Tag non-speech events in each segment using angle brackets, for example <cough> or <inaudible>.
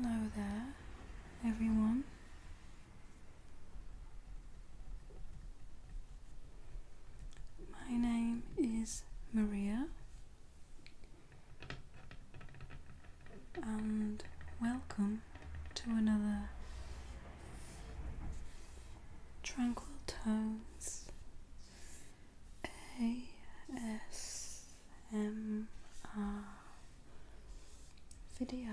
Hello there, everyone. My name is Maria, and welcome to another. Tranquil Tones ASMR video.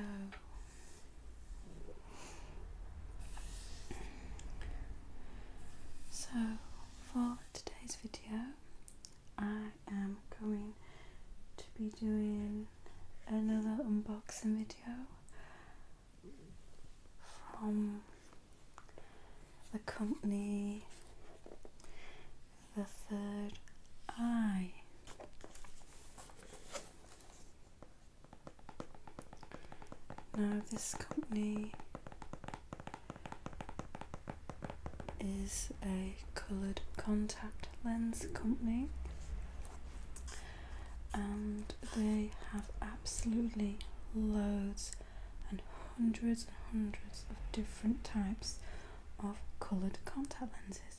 So, for today's video, I am going to be doing another unboxing video from the company The Third Eye. Now, this company is a coloured contact lens company and they have absolutely loads and hundreds and hundreds of different types of coloured contact lenses.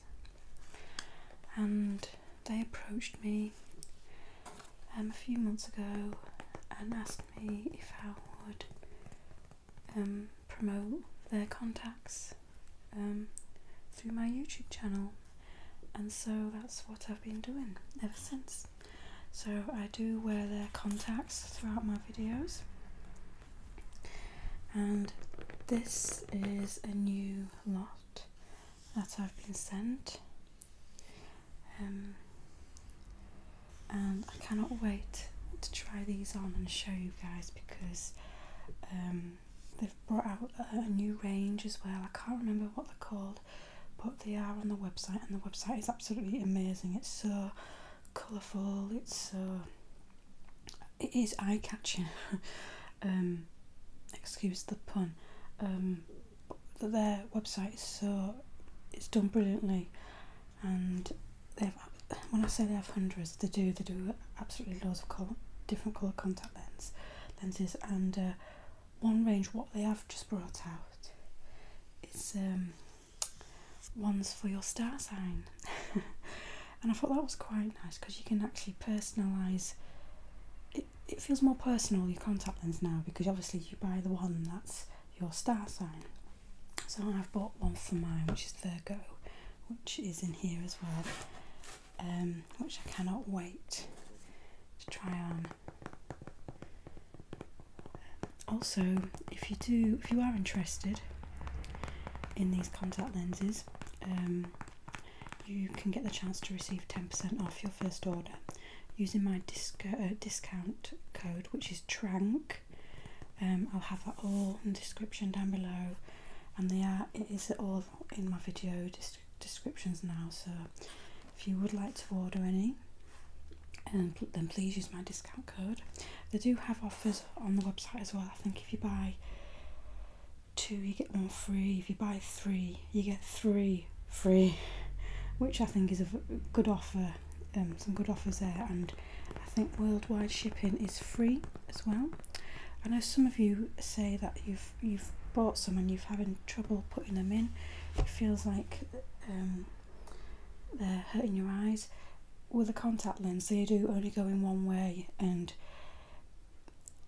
And they approached me um, a few months ago and asked me if I would um, promote their contacts um, through my YouTube channel, and so that's what I've been doing ever since. So I do wear their contacts throughout my videos, and this is a new lot that I've been sent. Um, and I cannot wait to try these on and show you guys because um, they've brought out a, new range as well. I can't remember what they're called, but they are on the website, and the website is absolutely amazing. It's so colourful. It's so it is eye catching. <laughs> Um, excuse the pun. Um, their website is so it's done brilliantly, and they've when I say they have hundreds, they do they do absolutely loads of different colour contact lenses lenses and uh, one range what they have just brought out is um, ones for your star sign <laughs> and I thought that was quite nice because you can actually personalise it, it feels more personal your contact lens now because obviously you buy the one that's your star sign so I've bought one for mine which is Virgo which is in here as well um, which I cannot wait to try on. Also, if you do, if you are interested in these contact lenses, um, you can get the chance to receive 10% off your first order using my disc uh, discount code, which is TRANK. Um, I'll have that all in the description down below, and they are it is all in my video descriptions now. So if you would like to order any, um, then please use my discount code. They do have offers on the website as well. I think if you buy two, you get one free. If you buy three, you get three free, which I think is a good offer. Um, some good offers there, and I think worldwide shipping is free as well. I know some of you say that you have you've bought some and you've having trouble putting them in it feels like um, they're hurting your eyes with a contact lens they do only go in one way and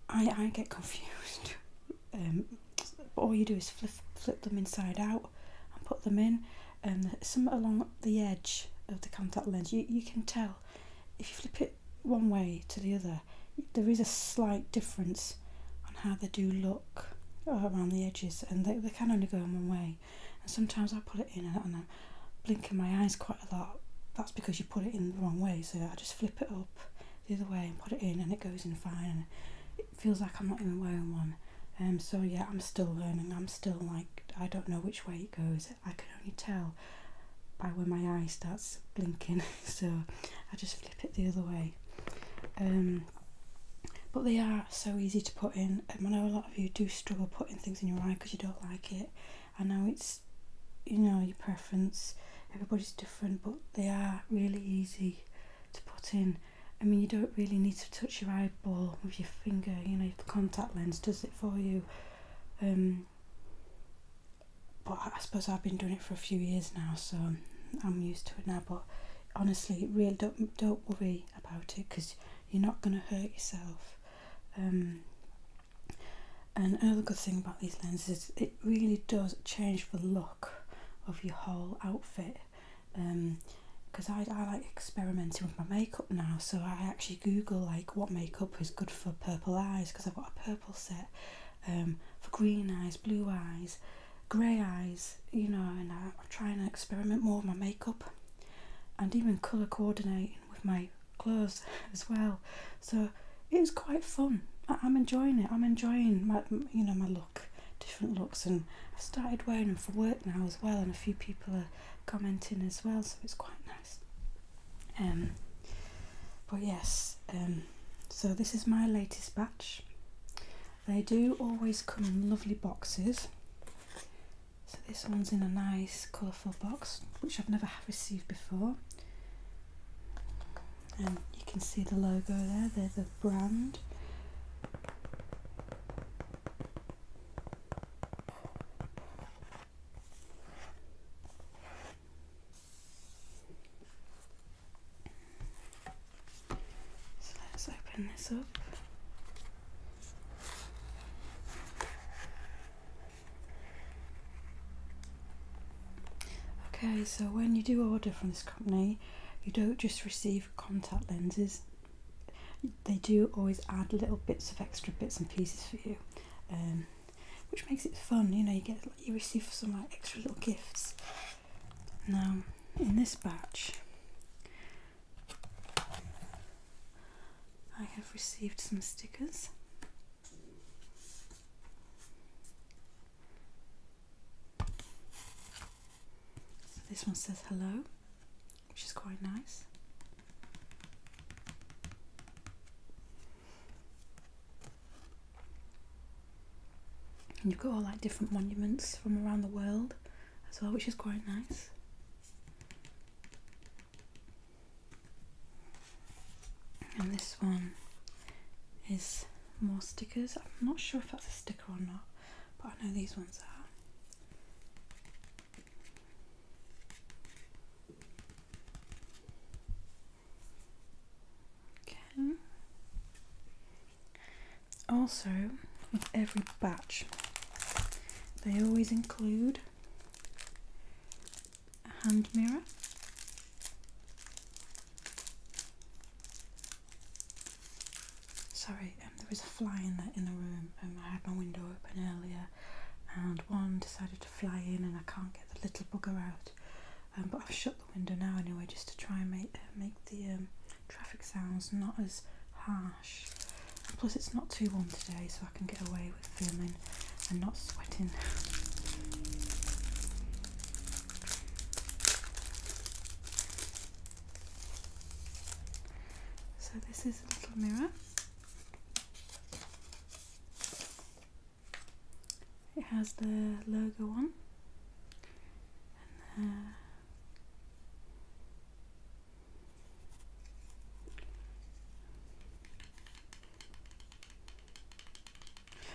I, I get confused <laughs> um, all you do is flip, flip them inside out and put them in and some along the edge of the contact lens you, you can tell if you flip it one way to the other, there is a slight difference on how they do look uh, around the edges, and they, they can only go in one way. And sometimes I put it in and, I'm blinking my eyes quite a lot. That's because you put it in the wrong way, so I just flip it up the other way and put it in, and it goes in fine. And it feels like I'm not even wearing one. Um, so yeah, I'm still learning. I'm still like I don't know which way it goes. I can only tell by when my eye starts blinking <laughs> so I just flip it the other way um, but they are so easy to put in I know a lot of you do struggle putting things in your eye because you don't like it I know it's you know your preference everybody's different but they are really easy to put in I mean you don't really need to touch your eyeball with your finger you know the contact lens does it for you um, but I suppose I've been doing it for a few years now, so I'm used to it now. But honestly, really don't don't worry about it because you're not going to hurt yourself. Um, and another good thing about these lenses, it really does change the look of your whole outfit. Because um, I, I like experimenting with my makeup now, so I actually Google like what makeup is good for purple eyes because I've got a purple set um, for green eyes, blue eyes, grey eyes, you know, and I, am trying to experiment more with my makeup and even colour coordinating with my clothes <laughs> as well. So it is quite fun. I'm enjoying it. I'm enjoying my, you know, my look, different looks, and I've started wearing them for work now as well. And a few people are commenting as well, so it's quite nice. Um, but yes, um, so this is my latest batch. They do always come in lovely boxes. So this one's in a nice colourful box, which I've never received before. And you can see the logo there, they're the brand let's open this up. Okay, so when you do order from this company, you don't just receive contact lenses, they do always add little bits of extra bits and pieces for you. Um, which makes it fun. You know, you get you receive some like extra little gifts. Now, in this batch, I have received some stickers. this one says hello, which is quite nice. And you've got all like different monuments from around the world as well, which is quite nice. And this one is more stickers. I'm not sure if that's a sticker or not, but I know these ones are. Okay. Also, with every batch, they always include a hand mirror. Sorry, um, there was a fly in the in the room. Um, I had my window open earlier, and one decided to fly in and I can't get the little bugger out. Um, but I've shut the window now anyway just to try and make, uh, make the um, traffic sounds not as harsh. plus it's not too warm today so I can get away with filming and not sweating. So this is a little mirror. It has the logo on uh,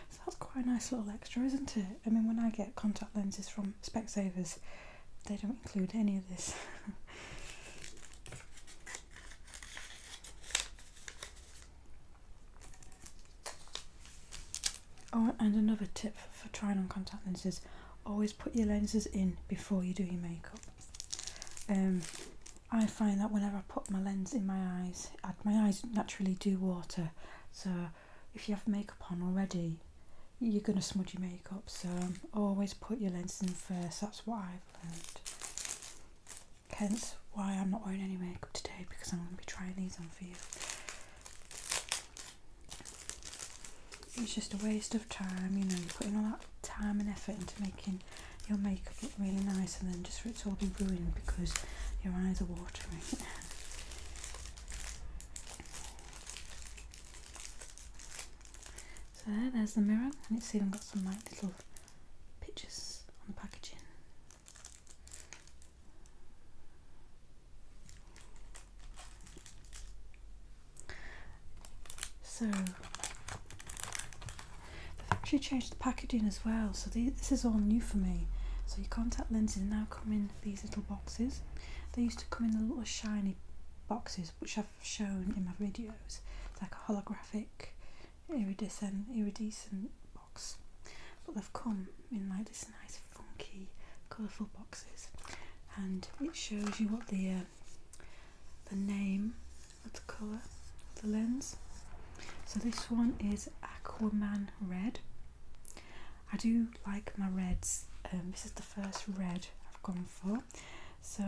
so that's quite a nice little extra, isn't it? I mean, when I get contact lenses from Specsavers, they don't include any of this. <laughs> Oh, and another tip for trying on contact lenses always put your lenses in before you do your makeup. Um, I find that whenever I put my lens in my eyes, my eyes naturally do water. So if you have makeup on already, you're going to smudge your makeup. So always put your lens in first. That's what I've learned. Hence why I'm not wearing any makeup today because I'm going to be trying these on for you. It's just a waste of time, you know, you're putting all that time and effort into making your makeup look really nice and then just for it to all be ruined because your eyes are watering. <laughs> so there, there's the mirror and it's even got some like little pictures on the packaging. So they've actually changed the packaging as well. So this is all new for me. So your contact lenses now come in these little boxes. They used to come in the little shiny boxes, which I've shown in my videos. It's like a holographic iridescent, iridescent box. But they've come in like this nice, funky, colourful boxes, and it shows you what the uh, the name of the colour the lens. So this one is Aquaman Red. I do like my reds. Um, this is the first red I've gone for so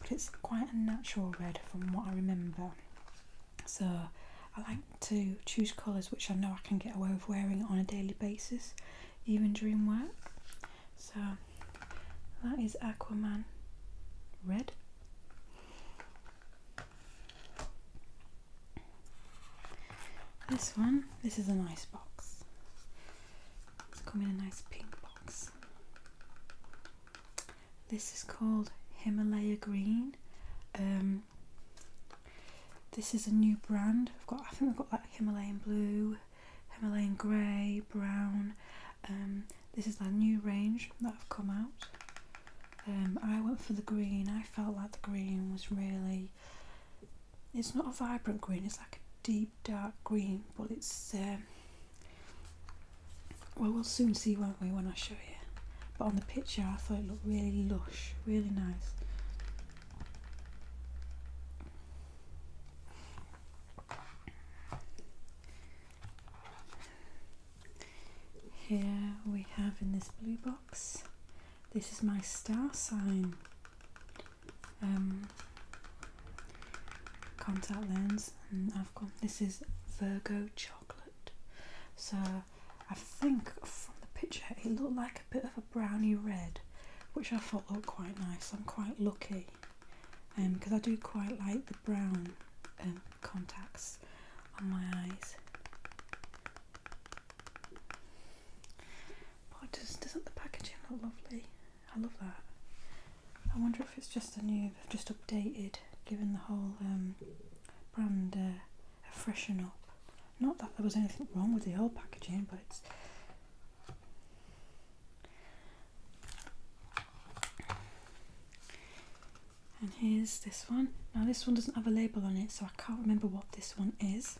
but it's quite a natural red from what I remember so I like to choose colours which I know I can get away with wearing on a daily basis even during work so that is Aquaman red this one this is a nice box it's coming in a nice pink box this is called Himalaya Green. Um, this is a new brand. I've got, I think we have got like Himalayan blue, Himalayan grey, brown. Um, this is their new range that have come out. Um, I went for the green. I felt like the green was really. It's not a vibrant green. It's like a deep dark green, but it's well, we'll soon see, won't we, when I show you. But on the picture, I thought it looked really lush, really nice. Here we have in this blue box, this is my star sign. Um, contact lens I've got this is Virgo chocolate so I think from the picture it looked like a bit of a brownie red which I thought looked quite nice I'm quite lucky because um, I do quite like the brown um, contacts on my eyes but does, doesn't the packaging look lovely I love that I wonder if it's just a new, just updated, given the whole um, brand uh, freshen up. Not that there was anything wrong with the old packaging, but And here's this one. Now this one doesn't have a label on it, so I can't remember what this one is.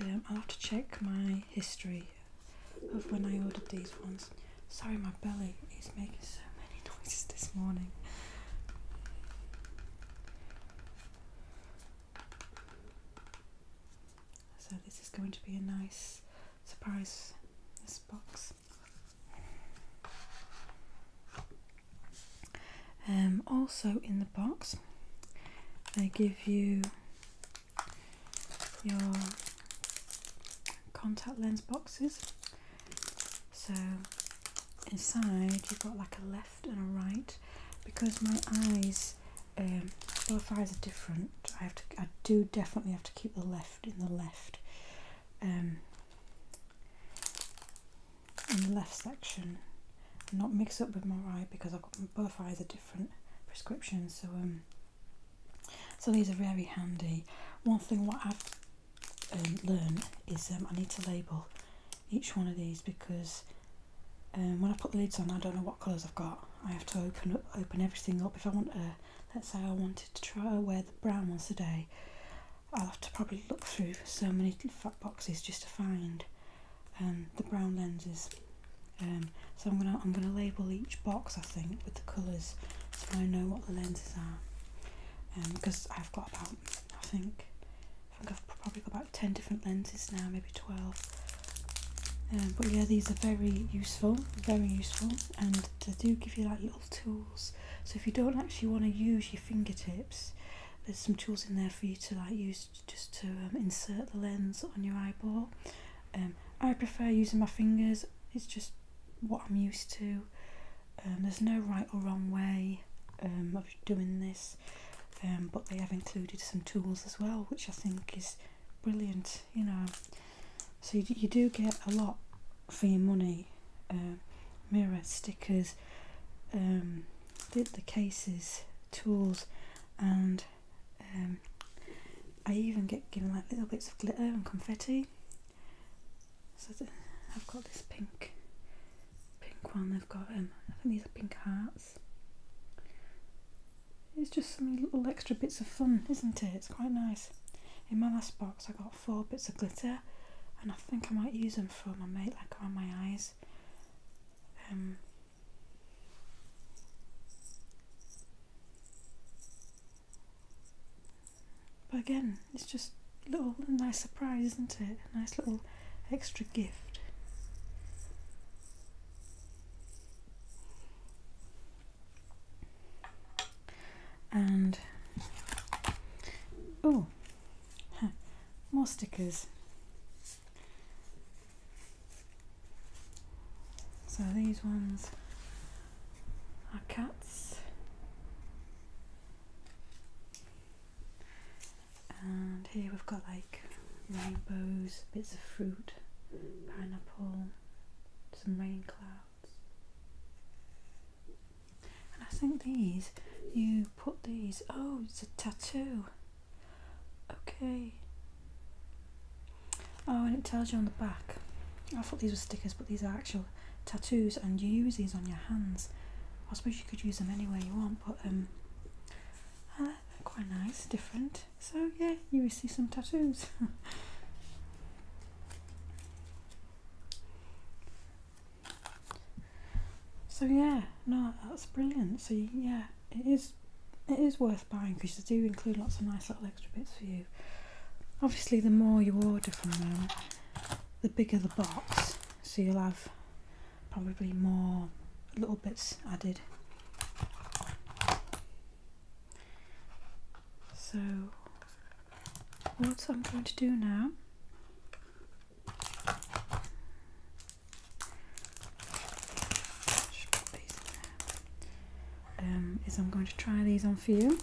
Um, I'll have to check my history of when I ordered these ones. Sorry, my belly is making so many <laughs> noises this morning. So this is going to be a nice surprise, this box. Um, also in the box, they give you your contact lens boxes. So inside you've got like a left and a right because my eyes, um, both eyes are different. I have to, I do definitely have to keep the left in the left, um, in the left section, not mix up with my right because I've got both eyes are different prescriptions. So um, so these are very handy. One thing what I've um, learned is um, I need to label each one of these because um, when I put the lids on I don't know what colours I've got. I have to open open everything up. If I want to, let's say I wanted to try uh, wear the brown ones today, I'll have to probably look through so many fat boxes just to find um, the brown lenses. Um, so I'm gonna I'm gonna label each box I think with the colours so I know what the lenses are. Because um, I've got about I think I think I've probably got about ten different lenses now, maybe twelve. Um, but yeah, these are very useful, very useful, and they do give you like little tools. So if you don't actually want to use your fingertips, there's some tools in there for you to like use just to insert the lens on your eyeball. I prefer using my fingers it's just what I'm used to. Um, there's no right or wrong way um, of doing this, um, but they have included some tools as well, which I think is brilliant, you know. So you, do get a lot for your money. mirror stickers, did the, the cases, tools, and um, I even get given like little bits of glitter and confetti. So I've got this pink, pink one. They've got um, I think these are pink hearts. It's just some little extra bits of fun, isn't it? It's quite nice. In my last box, I got four bits of glitter, and I think I might use them for my mate, like around my eyes. Um, but again, it's just a little nice surprise, isn't it? A nice little extra gift. And oh, more stickers. So these ones are cats. And here we've got like rainbows, bits of fruit, pineapple, some rain clouds. And I think these, you put these, oh, it's a tattoo. Okay. Oh, and it tells you on the back. I thought these were stickers, but these are actual tattoos, and you use these on your hands. I suppose you could use them anywhere you want, but um, uh, they're quite nice, different. So yeah, you will see some tattoos. <laughs> so yeah, no, that's brilliant. So yeah, it is it is worth buying because they do include lots of nice little extra bits for you. Obviously, the more you order from them, the bigger the box, so you'll have probably more little bits added. So, what I'm going to do now um, is I'm going to try these on for you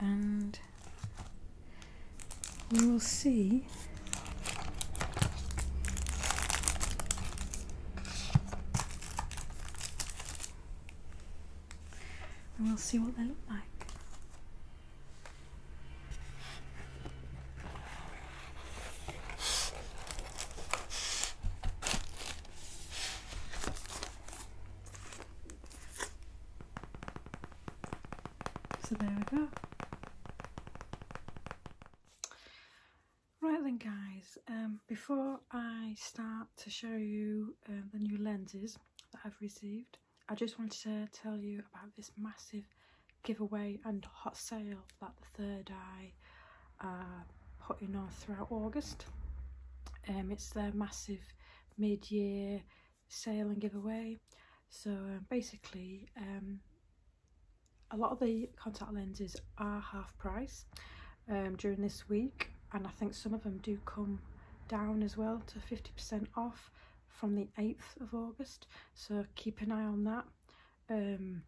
and we will see we'll see what they look like so there we go. Right then guys, um, before I start to show you uh, the new lenses that I've received, I just wanted to tell you about this massive giveaway and hot sale that the third eye are uh, putting on throughout august um it's their massive mid-year sale and giveaway so um, basically um a lot of the contact lenses are half price um, during this week and I think some of them do come down as well to 50% off from the 8th of August so keep an eye on that um,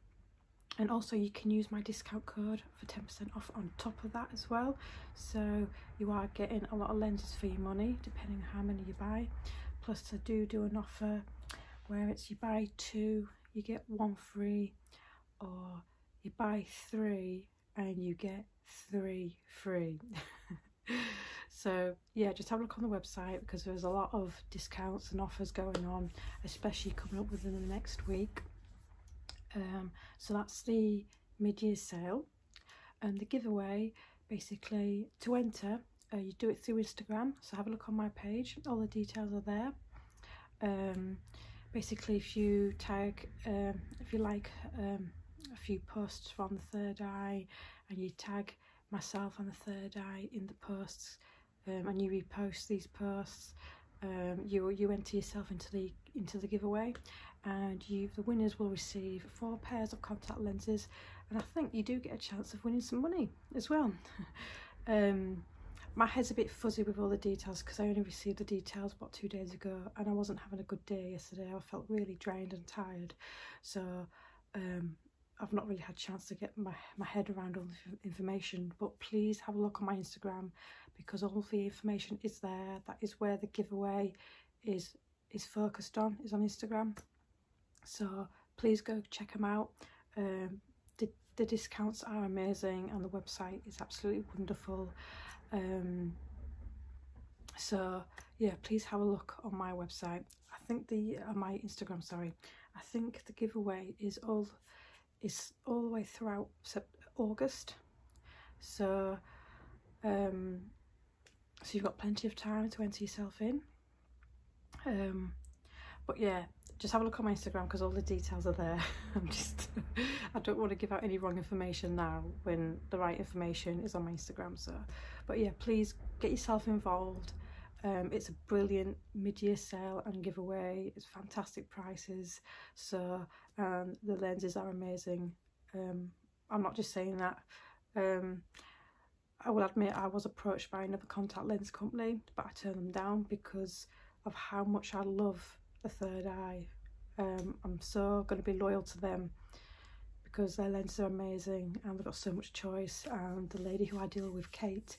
and also you can use my discount code for 10% off on top of that as well so you are getting a lot of lenses for your money depending on how many you buy plus I do do an offer where it's you buy two you get one free or you buy three and you get three free <laughs> so yeah just have a look on the website because there's a lot of discounts and offers going on, especially coming up within the next week. Um, so that's the mid-year sale. And um, the giveaway, basically, to enter, uh, you do it through Instagram. So have a look on my page. All the details are there. Um, basically, if you tag, if you like a few posts from the Third Eye and you tag myself and the Third Eye in the posts, um, and you repost these posts, um, you you enter yourself into the into the giveaway, and you the winners will receive four pairs of contact lenses, and I think you do get a chance of winning some money as well. <laughs> um, my head's a bit fuzzy with all the details because I only received the details about two days ago, and I wasn't having a good day yesterday. I felt really drained and tired, so um, I've not really had a chance to get my, my head around all the information, but please have a look on my Instagram because all the information is there. That is where the giveaway is is focused on, is on Instagram. So please go check them out. Um, the, the discounts are amazing and the website is absolutely wonderful. Um, so yeah, please have a look on my website. I think the uh, my Instagram sorry I think the giveaway is all is all the way throughout August so um, so you've got plenty of time to enter yourself in um, but yeah just have a look on my Instagram because all the details are there <laughs> I'm just I don't want to give out any wrong information now when the right information is on my Instagram so but yeah please get yourself involved um, it's a brilliant mid-year sale and giveaway it's fantastic prices so um, the lenses are amazing um, I'm not just saying that um, I will admit I was approached by another contact lens company but I turned them down because of how much I love the third eye Um, I'm so going to be loyal to them because their lenses are amazing and they've got so much choice and the lady who I deal with Kate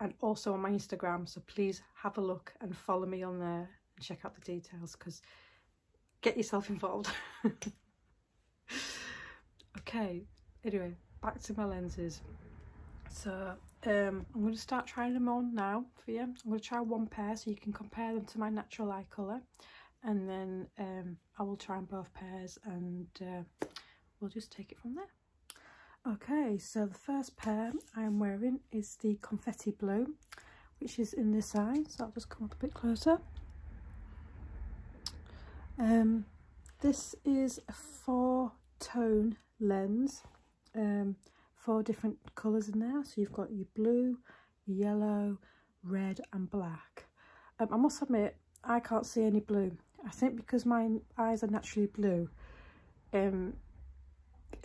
and also on my Instagram. So please have a look and follow me on there and check out the details because get yourself <laughs> involved. okay, anyway, back to my lenses. So um, I'm going to start trying them on now for you. I'm going to try one pair so you can compare them to my natural eye colour. And then um, I will try on both pairs and uh, we'll just take it from there. Okay, so the first pair I'm wearing is the Confetti Blue, which is in this eye. So I'll just come up a bit closer. Um, this is a four-tone lens, um, four different colours in there. So you've got your blue, yellow, red and black. Um, I must admit, I can't see any blue. I think because my eyes are naturally blue, um,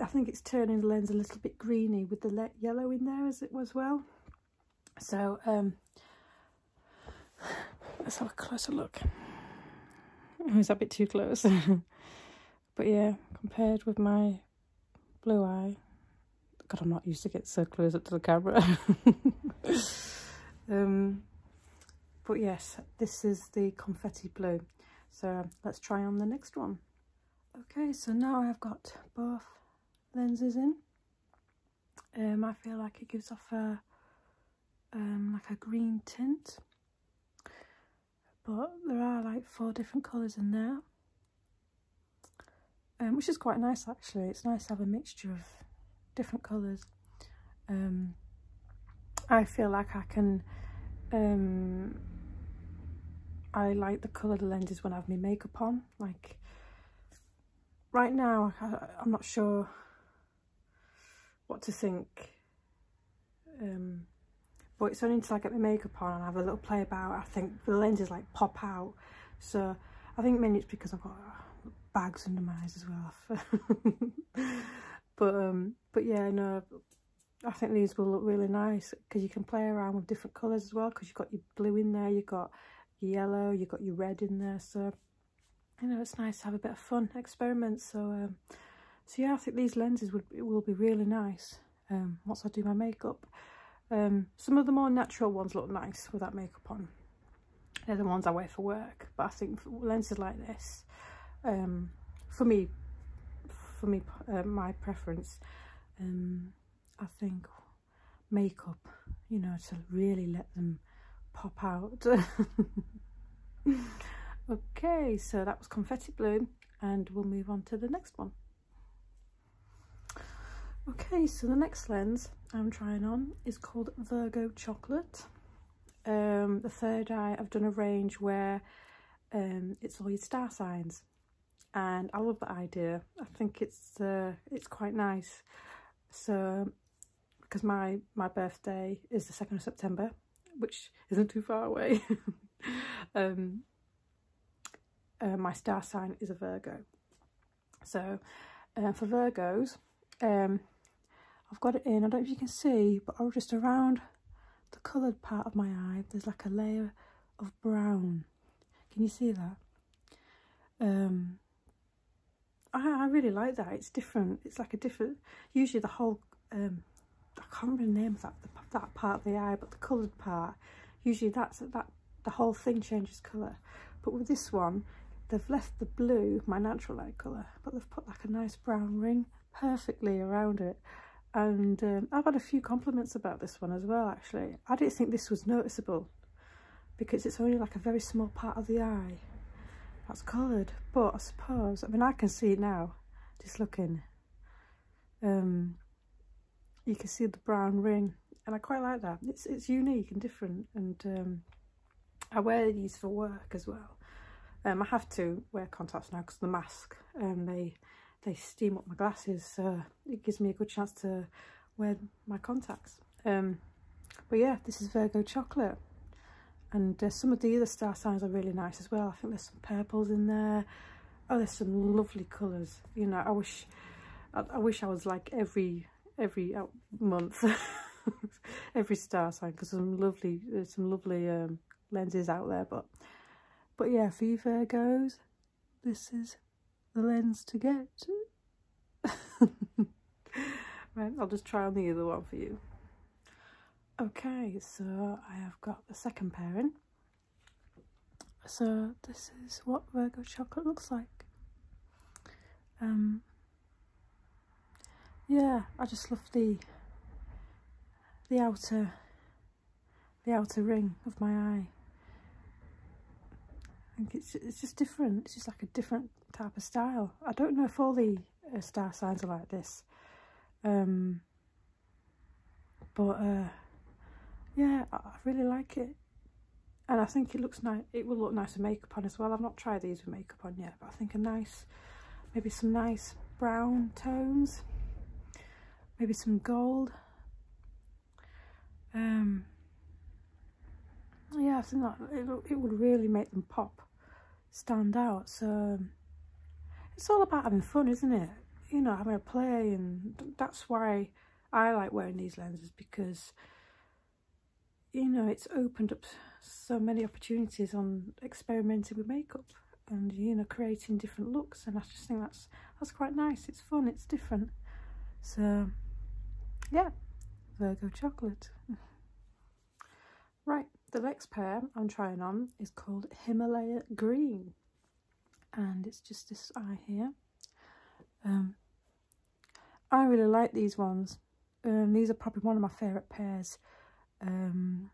I think it's turning the lens a little bit greeny with the yellow in there as it was well. So um, let's have a closer look. Oh, is a bit too close? <laughs> but yeah, compared with my blue eye, God, I'm not used to get so close up to the camera. <laughs> um, but yes, this is the confetti blue. So let's try on the next one. Okay, so now I've got both lenses in. Um, I feel like it gives off a um, like a green tint, but there are like four different colours in there, um, which is quite nice actually. It's nice to have a mixture of different colours. Um, I feel like I can, um, I like the colour the lenses when I have my makeup on. Like right now, I, am not sure what to think. Um, but it's only until I get my makeup on and I have a little play about, I think the lenses like pop out. So I think mainly it's because I've got uh, bags under my eyes as well. <laughs> but um, but yeah, no, I think these will look really nice because you can play around with different colours as well because you've got your blue in there, you've got yellow, you've got your red in there. So, you know, it's nice to have a bit of fun, experiment. So, um, so yeah, I think these lenses would will be really nice um, once I do my makeup. Um, some of the more natural ones look nice with that makeup on. They're the ones I wear for work. But I think lenses like this, um, for me for me uh, my preference um, I think makeup you know to really let them pop out <laughs> okay so that was confetti blue, and we'll move on to the next one okay so the next lens I'm trying on is called Virgo chocolate um, the third eye I've done a range where um, it's all your star signs. And I love the idea. I think it's uh, it's quite nice. So, because my, my birthday is the 2nd of September, which isn't too far away. <laughs> um, uh, my star sign is a Virgo. So, uh, for Virgos, um, I've got it in, I don't know if you can see, but I'll oh, just around the coloured part of my eye, there's like a layer of brown. Can you see that? Um, I, really like that. It's different. It's like a different, usually the whole, um, I can't remember the name of that, that part of the eye, but the coloured part, usually that's that the whole thing changes colour. But with this one, they've left the blue, my natural eye colour, but they've put like a nice brown ring perfectly around it. And um, I've had a few compliments about this one as well, actually. I didn't think this was noticeable because it's only like a very small part of the eye that's coloured. But I suppose, I mean, I can see it now, just looking. Um, you can see the brown ring and I quite like that. It's, it's unique and different and um, I wear these for work as well. Um, I have to wear contacts now because the mask and um, they they steam up my glasses so it gives me a good chance to wear my contacts um, but yeah this is Virgo chocolate and some of the other star signs are really nice as well I think there's some purples in there oh there's some lovely colours you know I wish I, wish I was like every every uh, month <laughs> every star sign because some lovely uh, some lovely um, lenses out there but but yeah for you Virgos this is the lens to get <laughs> right I'll just try on the other one for you okay so I have got the second pairing so this is what Virgo chocolate looks like um yeah I just love the the outer the outer ring of my eye I think it's, it's just different it's just like a different type of style I don't know if all the uh, star signs are like this um, but uh, yeah I, I really like it and I think it looks nice it will look nice with makeup on as well I've not tried these with makeup on yet I think a nice maybe some nice brown tones maybe some gold um yeah I think that it, it would really make them pop stand out so it's all about having fun isn't it you know having a play and that's why I like wearing these lenses because you know it's opened up so many opportunities on experimenting with makeup and you know creating different looks and I just think that's that's quite nice it's fun it's different so yeah Virgo chocolate right the next pair I'm trying on is called Himalaya green and it's just this eye here um I really like these ones um, these are probably one of my favourite pairs. Um,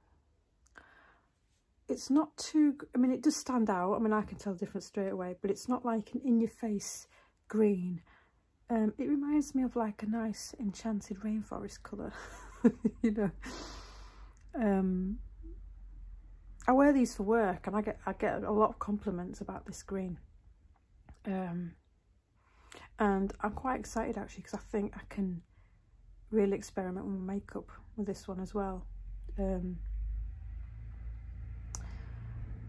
it's not too, I mean, it does stand out. I mean, I can tell the difference straight away, but it's not like an in-your-face green. Um, it reminds me of like a nice enchanted rainforest colour, <laughs> you know. I wear these for work and I get I get a lot of compliments about this green and I'm quite excited actually because I think I can really experiment with makeup with this one as well um,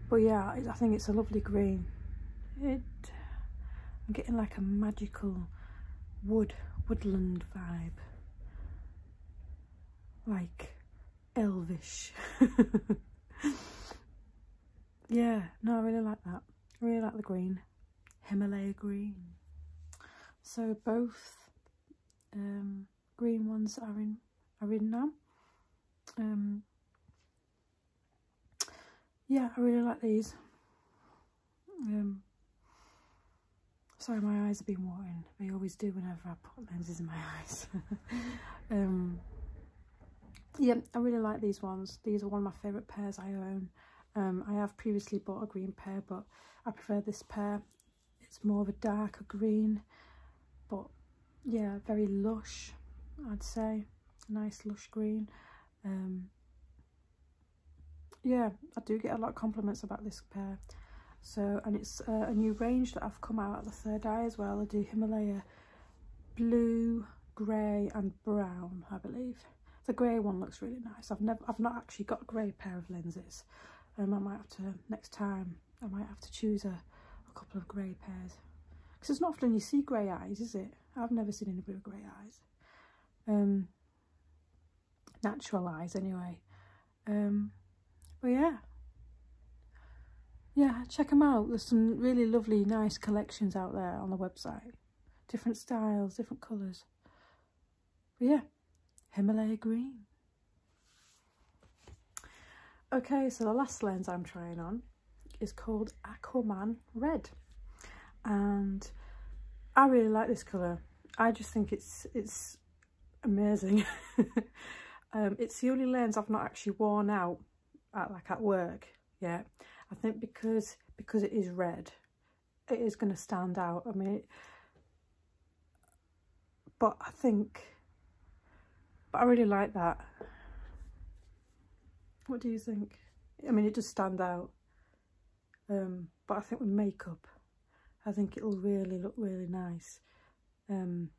but yeah I think it's a lovely green it I'm getting like a magical wood woodland vibe like elvish <laughs> yeah no I really like that I really like the green Himalaya green. So both um, green ones are in are in now. Um, yeah, I really like these. Um, sorry, my eyes have been watering. They always do whenever I put lenses in my <laughs> eyes. yeah, I really like these ones. These are one of my favourite pairs I own. Um, I have previously bought a green pair, but I prefer this pair. It's more of a darker green, but yeah, very lush, I'd say. Nice lush green. Um, yeah, I do get a lot of compliments about this pair. So, and it's uh, a new range that I've come out at the third eye as well. I do Himalaya blue, grey and brown, I believe. The grey one looks really nice. I've never, I've not actually got a grey pair of lenses. Um, I might have to next time. I might have to choose a, a couple of grey pairs because it's not often you see grey eyes, is it? I've never seen anybody with grey eyes. Um, natural eyes, anyway. Um, but yeah, yeah, check them out. There's some really lovely, nice collections out there on the website different styles, different colours. But yeah, Himalaya green. Okay, so the last lens I'm trying on is called Aquaman Red. And I really like this colour. I just think it's it's amazing. <laughs> Um, it's the only lens I've not actually worn out like at work Yeah, I think because because it is red, it is going to stand out. I mean, but I think, but I really like that. What do you think? I mean, it does stand out. Um, but I think with makeup, I think it'll really look really nice. Um,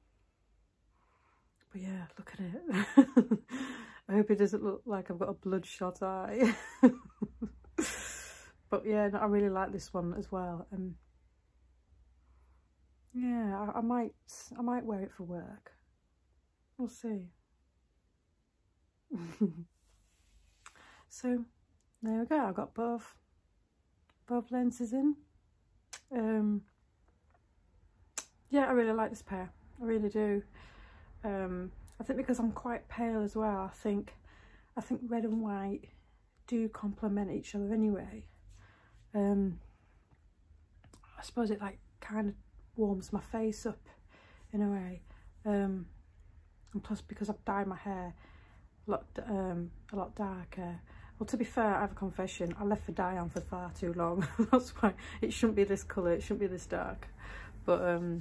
but yeah, look at it. <laughs> I hope it doesn't look like I've got a bloodshot eye. <laughs> but yeah, I really like this one as well. And um, yeah, I, I might, I might wear it for work. We'll see. <laughs> so there we go. I got both, both lenses in. Um, yeah, I really like this pair. I really do. Um, I think because I'm quite pale as well, I think I think red and white do complement each other anyway. Um, I suppose it like kind of warms my face up in a way. Um, and plus because I've dyed my hair a lot, darker. Well, to be fair, I have a confession. I left the dye on for far too long. <laughs> That's why it shouldn't be this colour. It shouldn't be this dark. But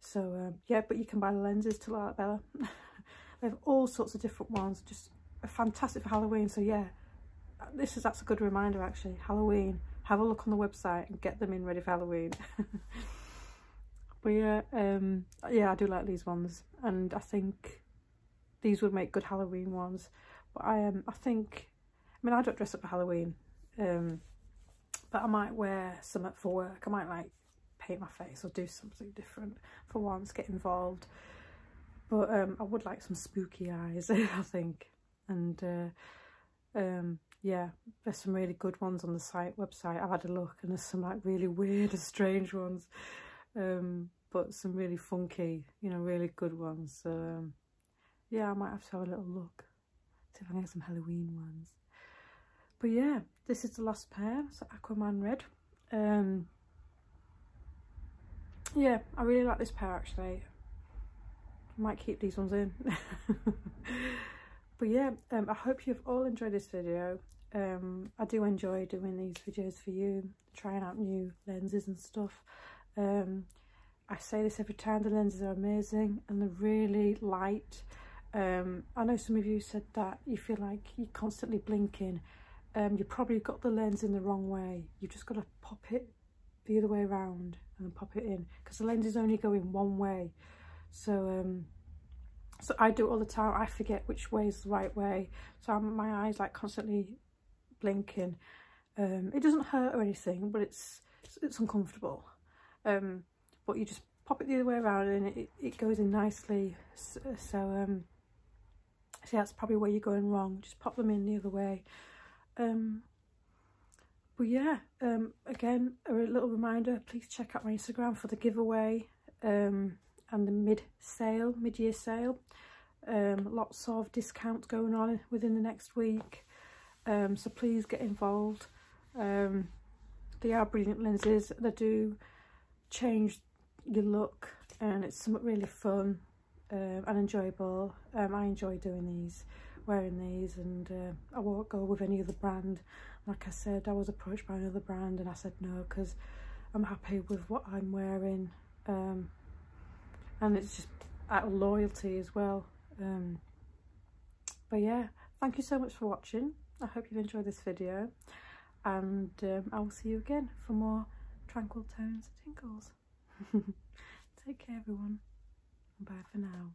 so um, yeah but you can buy the lenses to like Bella <laughs> they have all sorts of different ones just fantastic for Halloween so yeah this is that's a good reminder actually Halloween have a look on the website and get them in ready for Halloween <laughs> but yeah um, yeah I do like these ones and I think these would make good Halloween ones but I um I think I mean I don't dress up for Halloween um, but I might wear something for work. I might like paint my face or do something different for once, get involved. But um, I would like some spooky eyes, <laughs> I think. And uh, um, yeah, there's some really good ones on the site website. I've had a look and there's some like really <laughs> weird and strange ones. Um, but some really funky, you know, really good ones. yeah, I might have to have a little look. See if I can get some Halloween ones. But yeah, this is the last pair. So Aquaman Red. Um, yeah, I really like this pair actually. might keep these ones in. <laughs> but yeah, um, I hope you've all enjoyed this video. Um, I do enjoy doing these videos for you, trying out new lenses and stuff. I say this every time, the lenses are amazing and they're really light. Um, I know some of you said that you feel like you're constantly blinking. Um, you probably got the lens in the wrong way. You've just got to pop it the other way around and pop it in because the lens is only going one way. So um, so I do all the time. I forget which way is the right way. So my eyes like constantly blinking. Um, it doesn't hurt or anything, but it's it's uncomfortable but you just pop it the other way around and it, it goes in nicely so, so um see that's probably where you're going wrong just pop them in the other way um but yeah um again a little reminder please check out my instagram for the giveaway um and the mid sale mid-year sale um lots of discounts going on within the next week um, so please get involved. Um, they are brilliant lenses. They do change your look and it's really fun um, and enjoyable. I enjoy doing these, wearing these and uh, I won't go with any other brand. Like I said, I was approached by another brand and I said no because I'm happy with what I'm wearing. and it's just loyalty as well but yeah thank you so much for watching i hope you enjoyed this video and um, i will see you again for more tranquil tones and tinkles <laughs> take care everyone bye for now